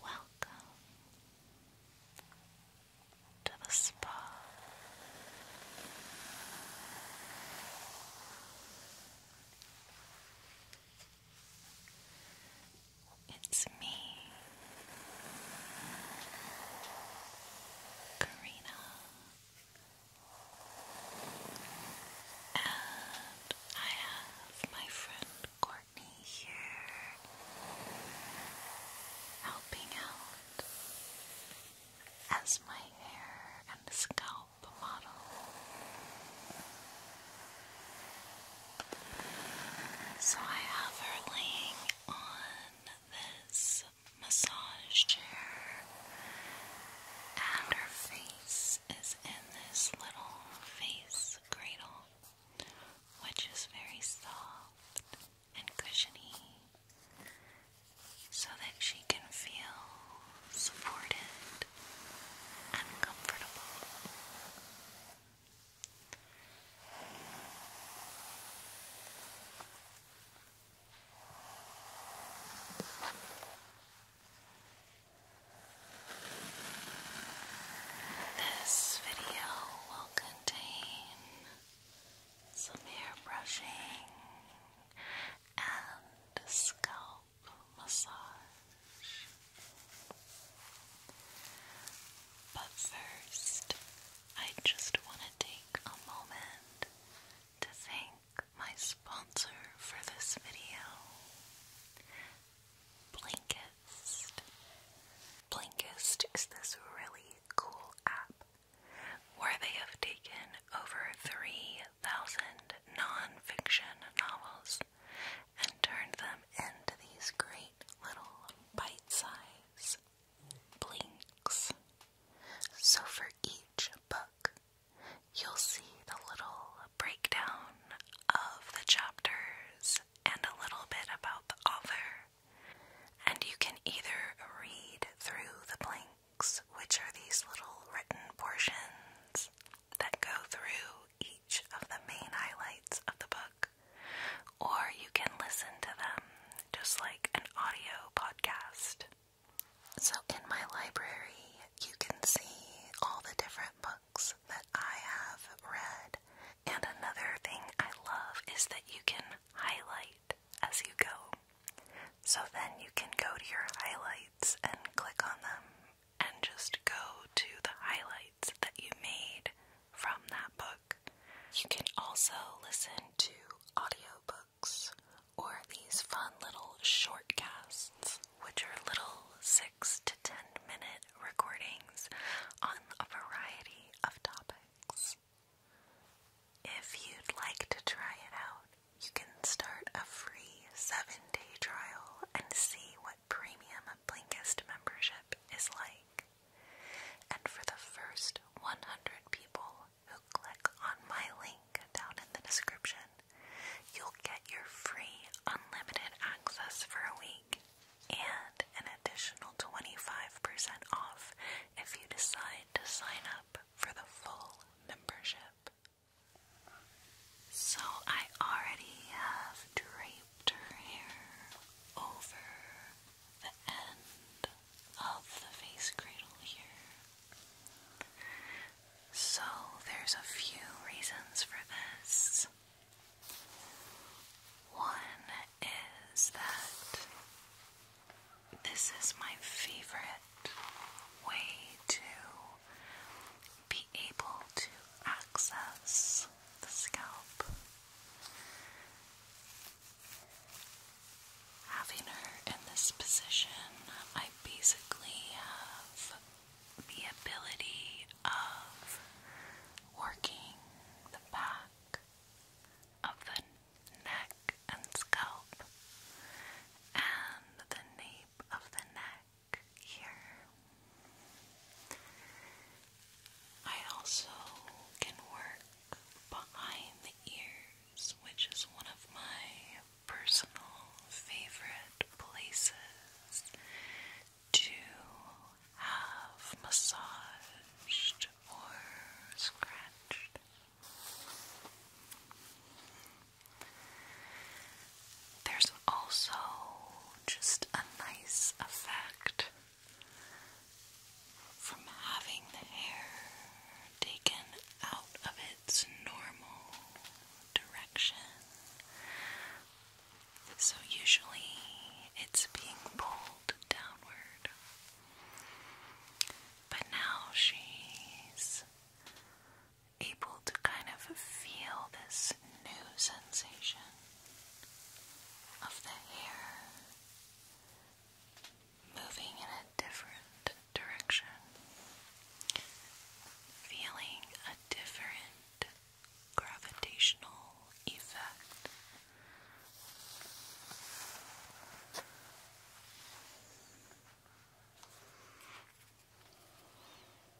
Welcome to the spa. It's me, Karina, and I have my friend Courtney here helping out as my hair and scalp the model. So I have her laying on this massage chair, and her face is in this little face cradle, which is very soft and cushiony. So that she can feel supported and comfortable. This video will contain some hair brushing and scalp massage. But first, I just want to take a moment to thank my sponsor for this video. Blinkist. Blinkist is this really cool app where they have taken over 3 non-fiction novels and turned them into these great little bite-size blinks. So for each book, you'll see the little breakdown of the chapters and a little bit about the author. And you can either read through the blink which are these little written portions that go through each of the main highlights of the book, or you can listen to them just like an audio podcast. So, in my library, you can see all the different books that I have read. And another thing I love is that you can highlight as you go. So then you can go to your highlights and click on them and just go to the highlights that you made from that book. You can also listen to audio books or these fun little shortcasts, which are little 6 to 10 minute recordings on a variety of topics. If you'd like to try it out, you can start a free seven day trial and see what premium Blinkist membership is like. And for the first 100 people who click on my link down in the description, you'll get your free unlimited access for a week and an additional 25% off if you decide to sign up for the full membership. So I already have draped her hair over the end of the face cradle here. So there's a few reasons for this. One is that this is my favorite way to be able to access the scalp. Having her in this position, I basically have the ability of working the back of the neck and scalp and the nape of the neck here. I also can work behind the ears, which is one of my personal favorite places to have massaged or scratched. There's also just a nice effect from having the hair taken out of its normal direction. So, usually it's being pulled downward, but now she's able to kind of feel this new sensation of the hair moving in a different direction, feeling a different gravitational effect.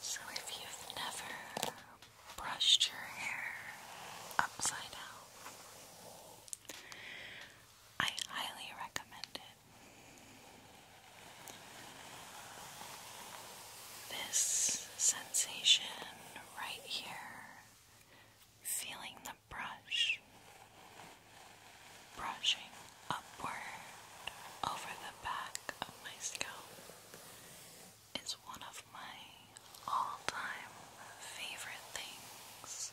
So, if you've never brushed your hair upside down. I highly recommend it. This sensation right here, feeling the brush, brushing upward over the back of my scalp is one of my all time favorite things.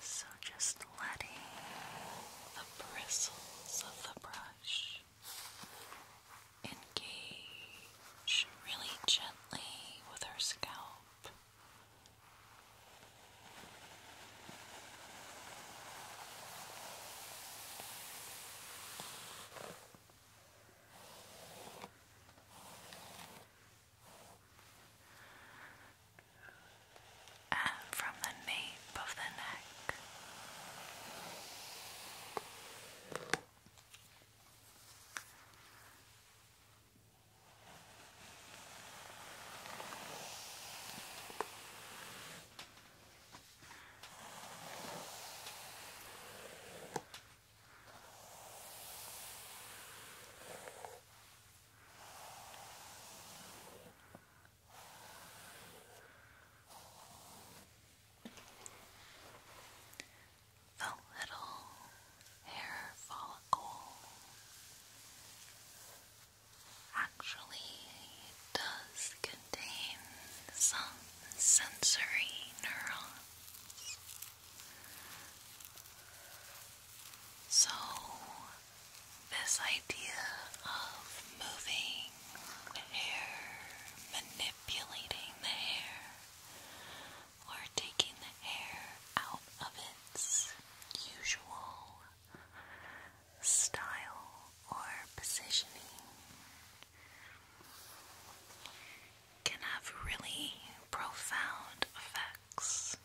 So just letting the bristles of the brush engage really gently with her scalp and from the nape of the neck. The little hair follicle actually does contain some sensory neurons so, this idea of moving the hair, manipulating the hair, or taking the hair out of its usual style or positioning can have really profound effects,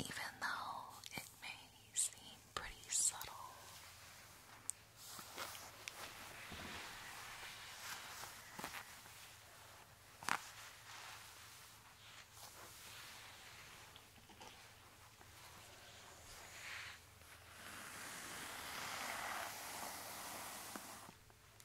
even though it may seem pretty subtle.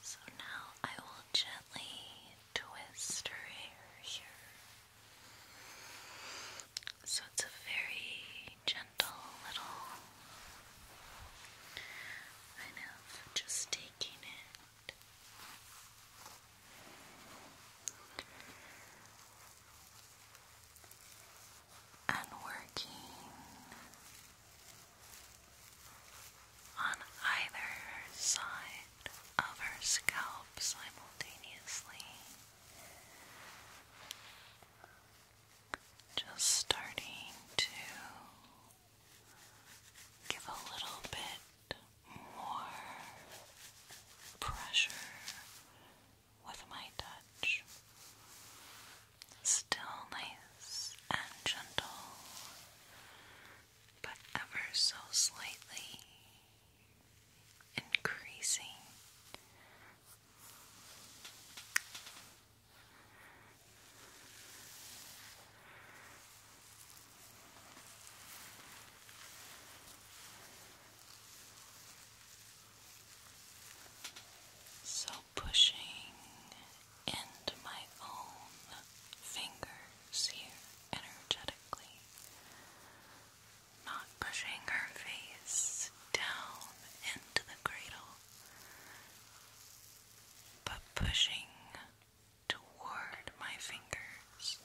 So now I will gently twist her hair here. So it's a very gentle little kind of just taking it and working on either side of her scalp simultaneously. Just starting to give a little bit more pressure with my touch. Still nice and gentle, but ever so slightly increasing. So pushing into my own fingers here energetically, not pushing her face down into the cradle, but pushing toward my fingers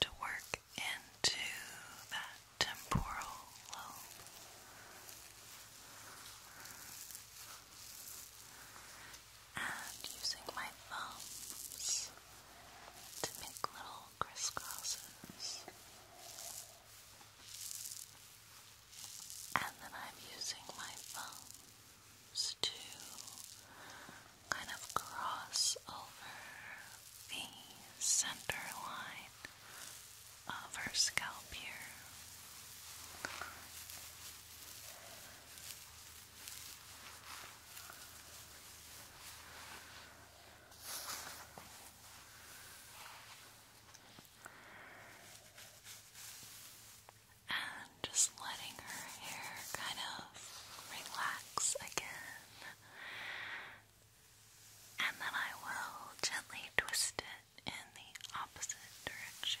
to work into that temporal lobe. And using my thumbs to make little crisscrosses. And then I'm using my thumbs to kind of cross over the center line of her scalp here. And just letting her hair kind of relax again and then I will gently twist it in the opposite direction.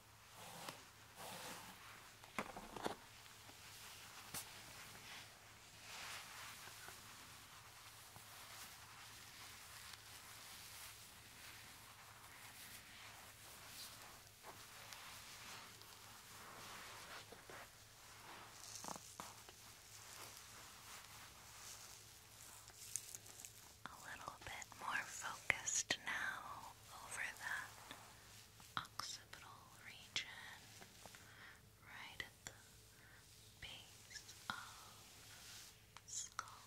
A little bit more focused now over that occipital region, right at the base of skull.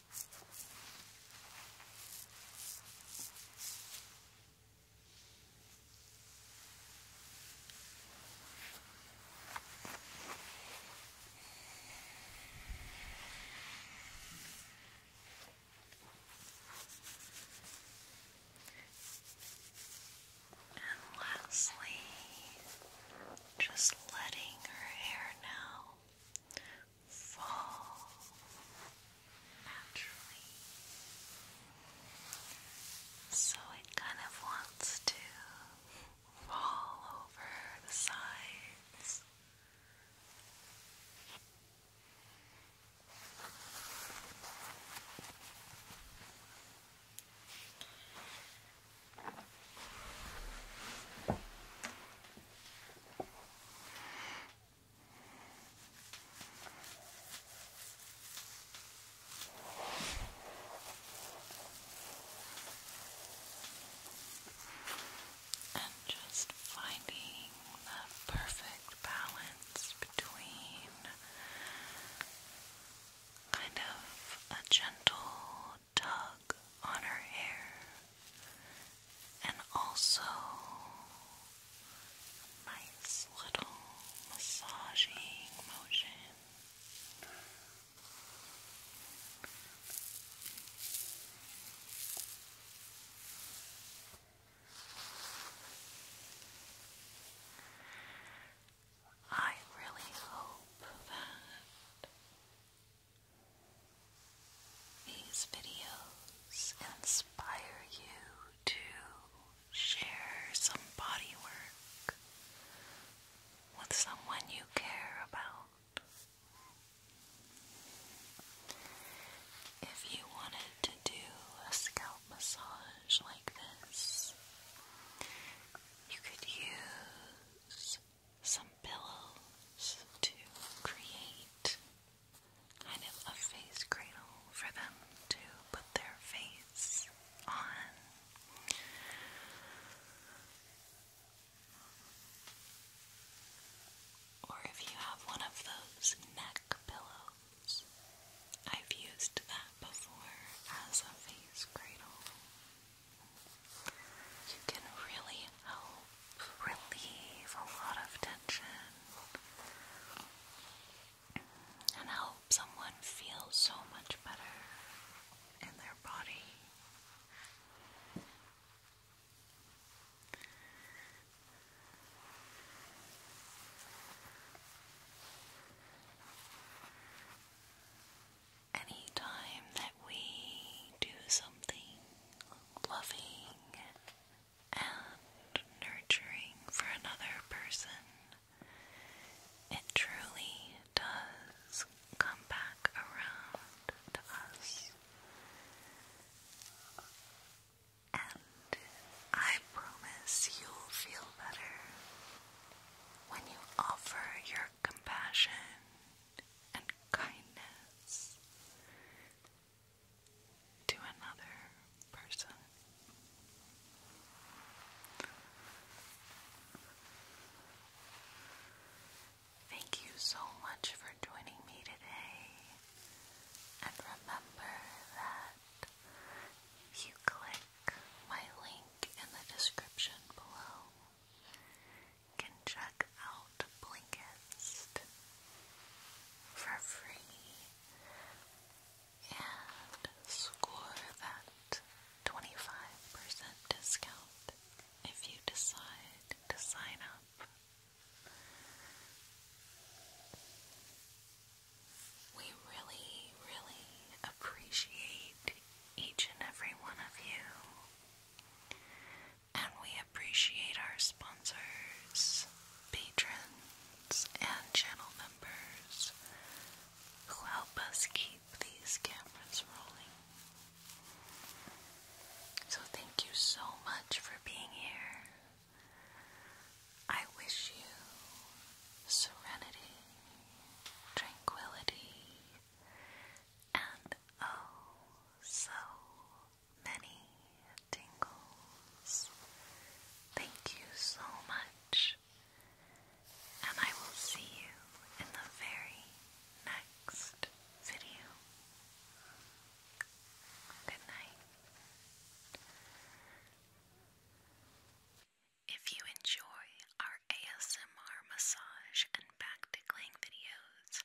And lastly, just letting her hair now fall naturally. So it kind of wants to fall over the sides. And just finding the perfect balance between kind of a gentle tug on her hair and also nice little massaging motion. I really hope that these videos inspire you to share some body with someone you care about. If you wanted to do a scalp massage like this, you could use some pillows to create kind of a face cradle for them to put their face on. Or if you have one of those neck pillows, I've used that before as a face cradle. You can really help relieve a lot of tension and help someone feel so much better in their body. Anytime that we do something loving and nurturing for another person, it truly does come back around to us. And I promise you'll feel better when you offer your compassion and kindness to another person. Thank you so much for joining me today. And remember that you click my link in the description below can check out Blinkist for free and score that 25% discount if you decide to sign up. We really, really appreciate each and every one of you and we appreciate our sponsors, patrons, and channel members who help us keep these cameras rolling. So, thank you so much for being here. I wish you serenity, tranquility, and oh, so many tingles. Thank you so much, and I will see you in the very next video. Good night. If you enjoy our ASMR massage and back tickling videos,